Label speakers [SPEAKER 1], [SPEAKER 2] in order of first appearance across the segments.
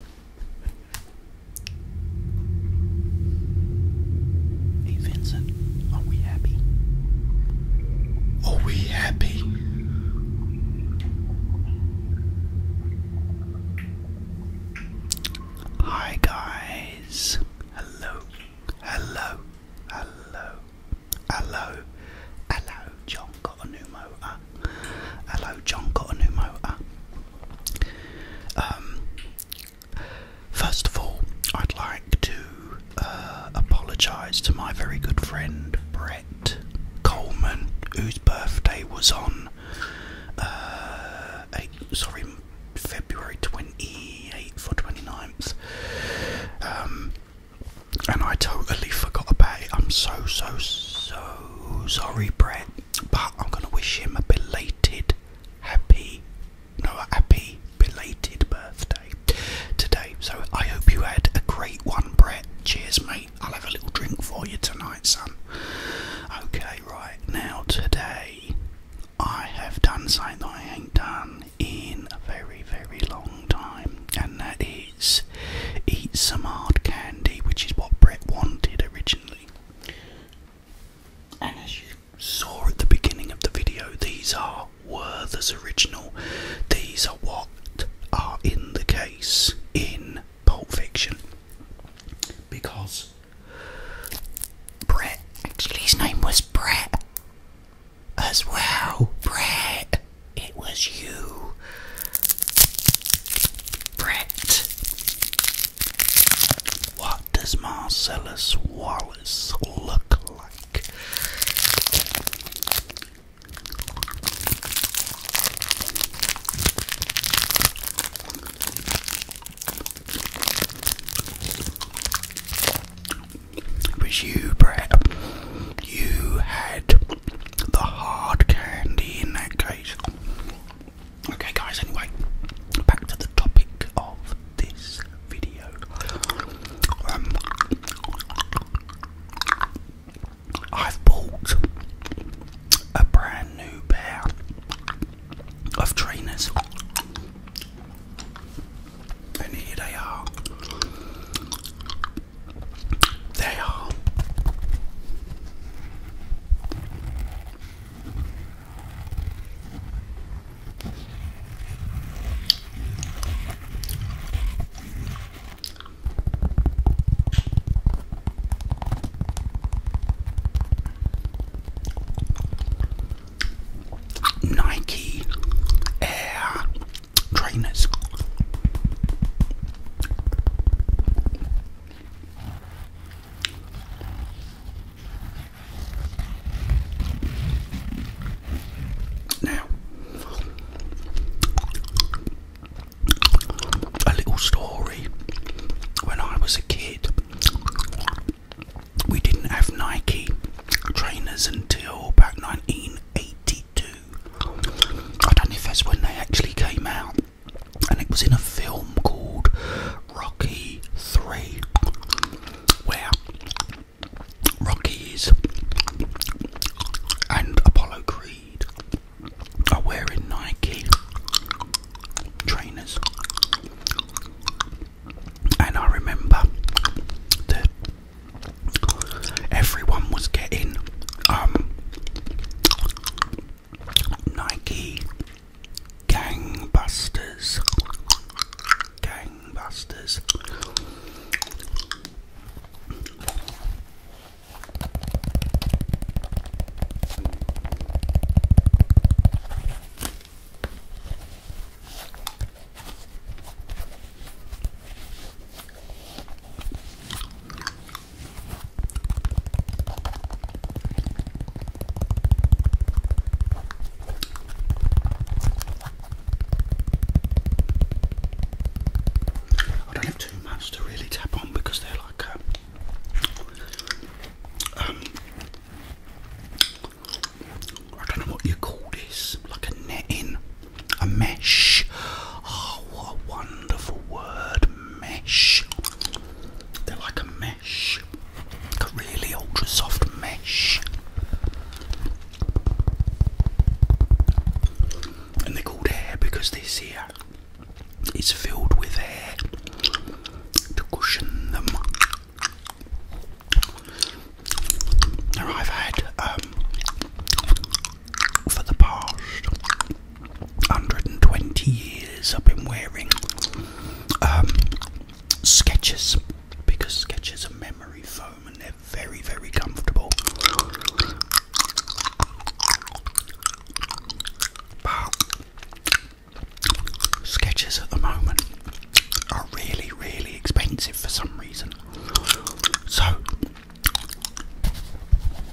[SPEAKER 1] Hey Vincent, are we happy? Are we happy? Hi guys. Hello. Hello. Hello. Hello. Hello. John got a new motor. Hello, John got a new motor. Uh, um, first of all, I'd like to uh, apologise to my very good friend Brett Coleman, whose birthday was on. Uh, sorry, February 28th or 29th. Um, and I totally forgot about it. I'm so, so, so sorry, Brett. But I'm gonna wish him a belated happy no happy belated birthday today. So I hope you had a great one, Brett. Cheers, mate. I'll have a little drink for you tonight, son. Okay, right, now today I have done something I ain't done in a very, very long time, and that is eat some hard candy, which is what Brett wanted originally. And as you saw at the beginning of the video, these are Werther's original. These are what are in the case in Pulp Fiction. Because Brett, actually, his name was Brett as well. Brett, it was you. Brett. What does Marcellus Wallace look like? It was you, Brett. You had the hard candy in that case. Okay, guys, anyway, back to the topic of this video. Um, I've bought a brand new pair of trainers, and here they are. They are Nike Air trainers. Now, a little story. When I was a kid, we didn't have Nike trainers until about 1982. I don't know if that's when they actually came out and it was in a film called Rocky 3 where Rocky is and Apollo Creed are wearing Nike trainers and I remember that everyone was getting um Nike Gangbusters. Gangbusters. I don't have too much to really tap on because they're like a, uh, um I don't know what you call this, like a netting, a mesh. Oh, what a wonderful word, mesh. They're like a mesh, a really ultra soft mesh. And they're called hair because this here is filled with hair to cushion them. Now I've had um, for the past 120 years I've been wearing um, sketches because sketches are memory foam and they're very, very comfortable. But sketches at the moment are really, really expensive for some reason. So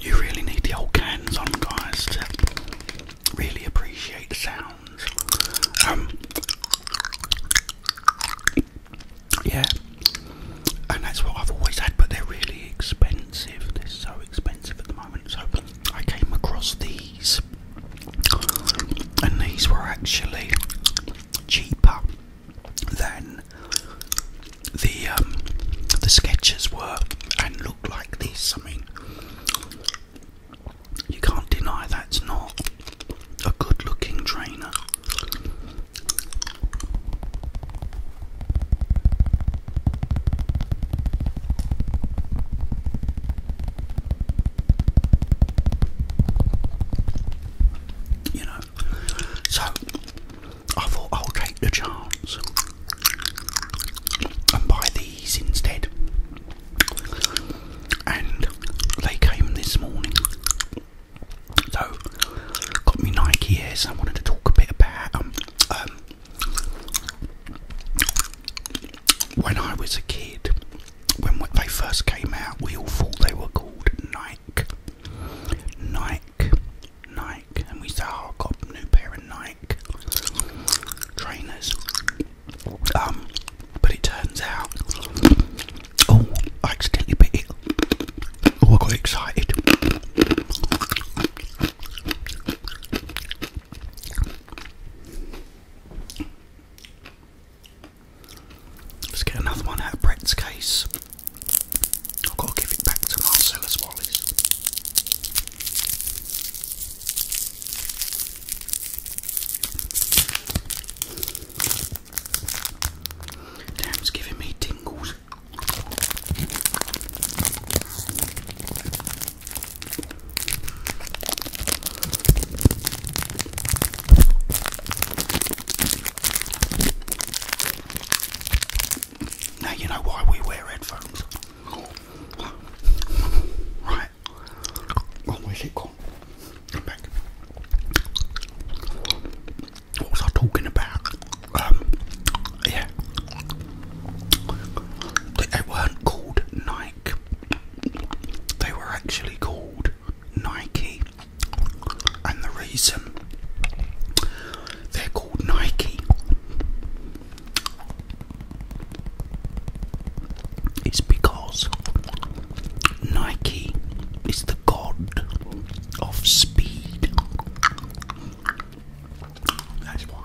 [SPEAKER 1] You really need the old cans on, guys, to really appreciate the sounds. Um, yeah, and that's what I've always had, but they're really expensive. They're so expensive at the moment. So I came across these, and these were actually cheaper then the um, the sketches were and looked like this. I mean, you can't deny that's not a good-looking trainer. You know, so I thought I'll take the chance and buy these instead. And they came this morning. So, got me Nike Airs. I wanted to talk a bit about um, um when I was a kid, when they first came out, we all thought they were called Nike. Nike. Nike, and we saw oh, I got a new pair of Nike trainers. Um, but it turns out, oh, I accidentally Oh, I got excited. Let's get another one out of Brett's case. I've got to give it back to Marcellus Wallace. Damn, it's giving me tingles. Now you know why we wear headphones. Right. Oh, where's it gone? What was I talking about? Um, yeah. They weren't called Nike. They were actually called Nike. And the reason they're called Nike is because Nike is the god of speed. That's why.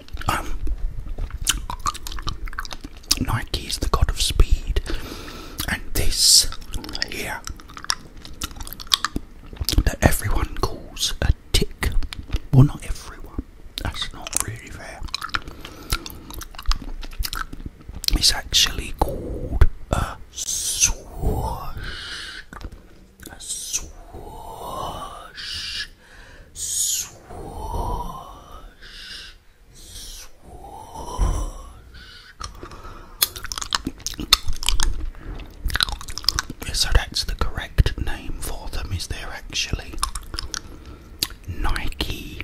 [SPEAKER 1] Um, Nike is the god of speed, and this here that everyone calls a tick. Well, not everyone. That's not really fair. It's actually called a swash. Swoosh, swoosh, swoosh. So that's the correct name for them, is there actually? Nike.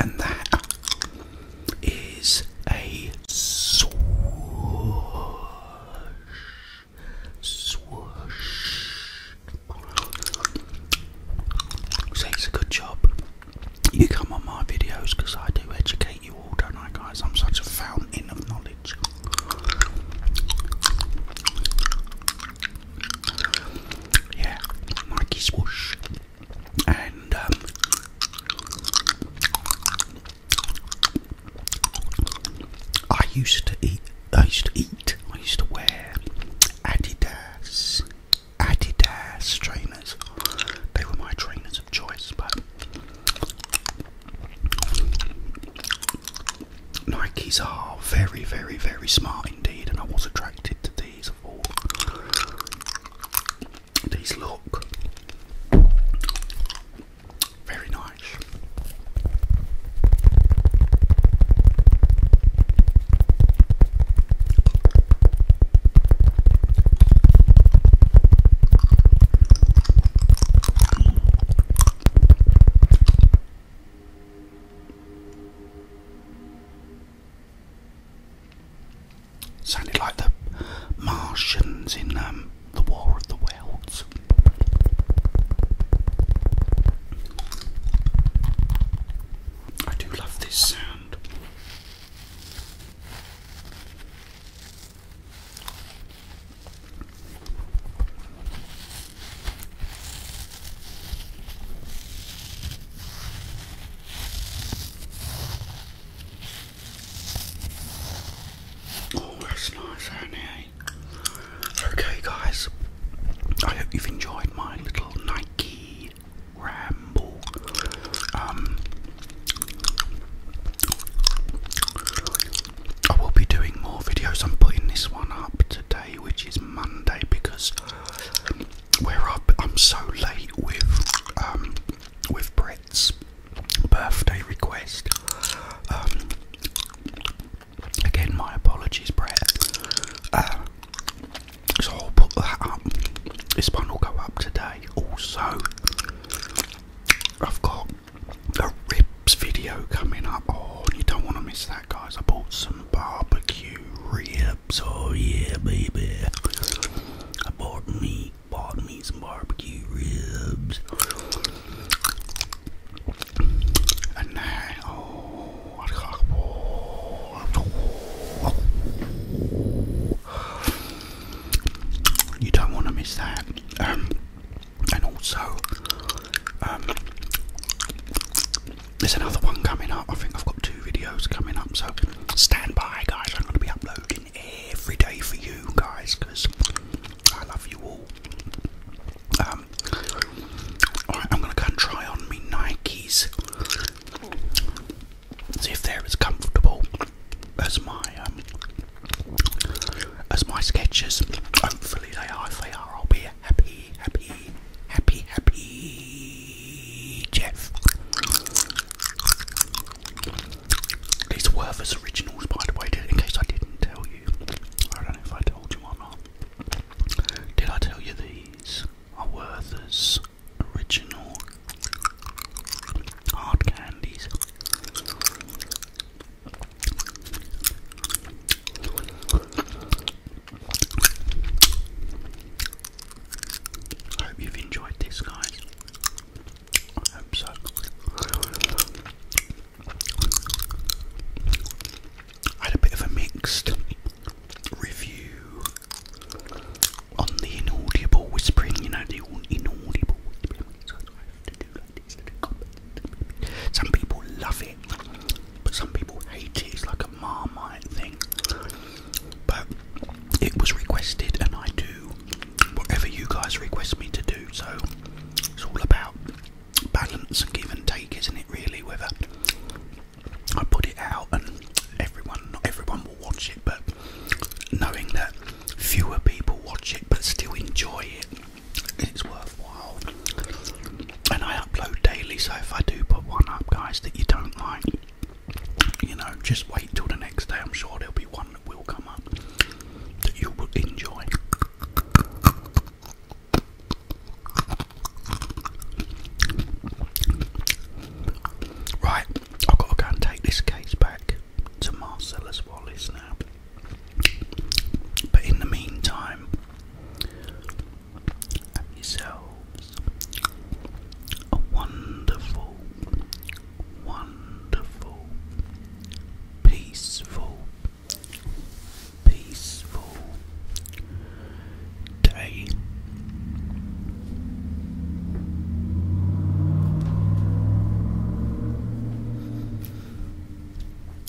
[SPEAKER 1] And that is a swoosh. Swoosh. Thanks a good job. You come on my videos I do educate you all, don't I, guys? I'm such a fountain of knowledge. Yeah, Mikey Swoosh. And, um, I used to eat. I used to eat. I used to wear Adidas, Adidas trainers. They were my trainers of choice, but Nikes are very, very, very smart indeed, and I was attracted to these. Of all these look. Very nice. Sounded like the Martians in um, the War of the Worlds. I do love this sound. Oh, that's nice, isn't Okay. guys. I hope you've enjoyed my little Nike ramble. Um, I will be doing more videos. I'm putting this one up today, which is Monday, because we I'm so late with um, with Brett's birthday request. Um, Again, my apologies, Brett. so I'll put that up. This one will go up today. Also, I've got a ribs video coming up. Oh, you don't want to miss that, guys. I bought some barbecue ribs. Oh, yeah, baby. I bought me, bought me some barbecue ribs. You don't want to miss that. Um, and also, um, there's another one coming up. I think I've got two videos coming up, so stand by, guys. I'm going to be uploading every day for you guys because I love you all. Um, alright, I'm gonna go and try on me Nikes. See if they're as comfortable as my um, as my sketches. Hopefully they are. they are, I'll be happy, happy, happy, happy Jeff. These were Werther's originals, by the way, in case I didn't tell you. I don't know if I told you or not. Did I tell you these are Werther's original hard candies? I hope you've enjoyed this, guys. I hope so. I had a bit of a mixed review on the inaudible whispering, you know, the inaudible whispering. Some people love it, but some people hate it. It's like a marmite thing. But it was requested, and I do whatever you guys request me to do. So it's all about balance and give and take, isn't it? Really, whether I put it out and everyone, not everyone will watch it, but knowing that fewer people watch it but still enjoy it, it's worthwhile. And I upload daily, so if I do put one up, guys, that you don't like, you know, just wait till the next day. I'm sure there'll be one that will come up that you will enjoy. Right, I've got to go and take this case back to Marcellus Wallace now. But in the meantime, have a wonderful, wonderful, peaceful peaceful day.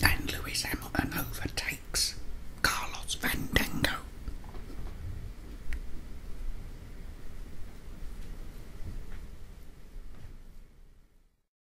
[SPEAKER 1] And Louis Hamilton overtakes Carlos Fandango.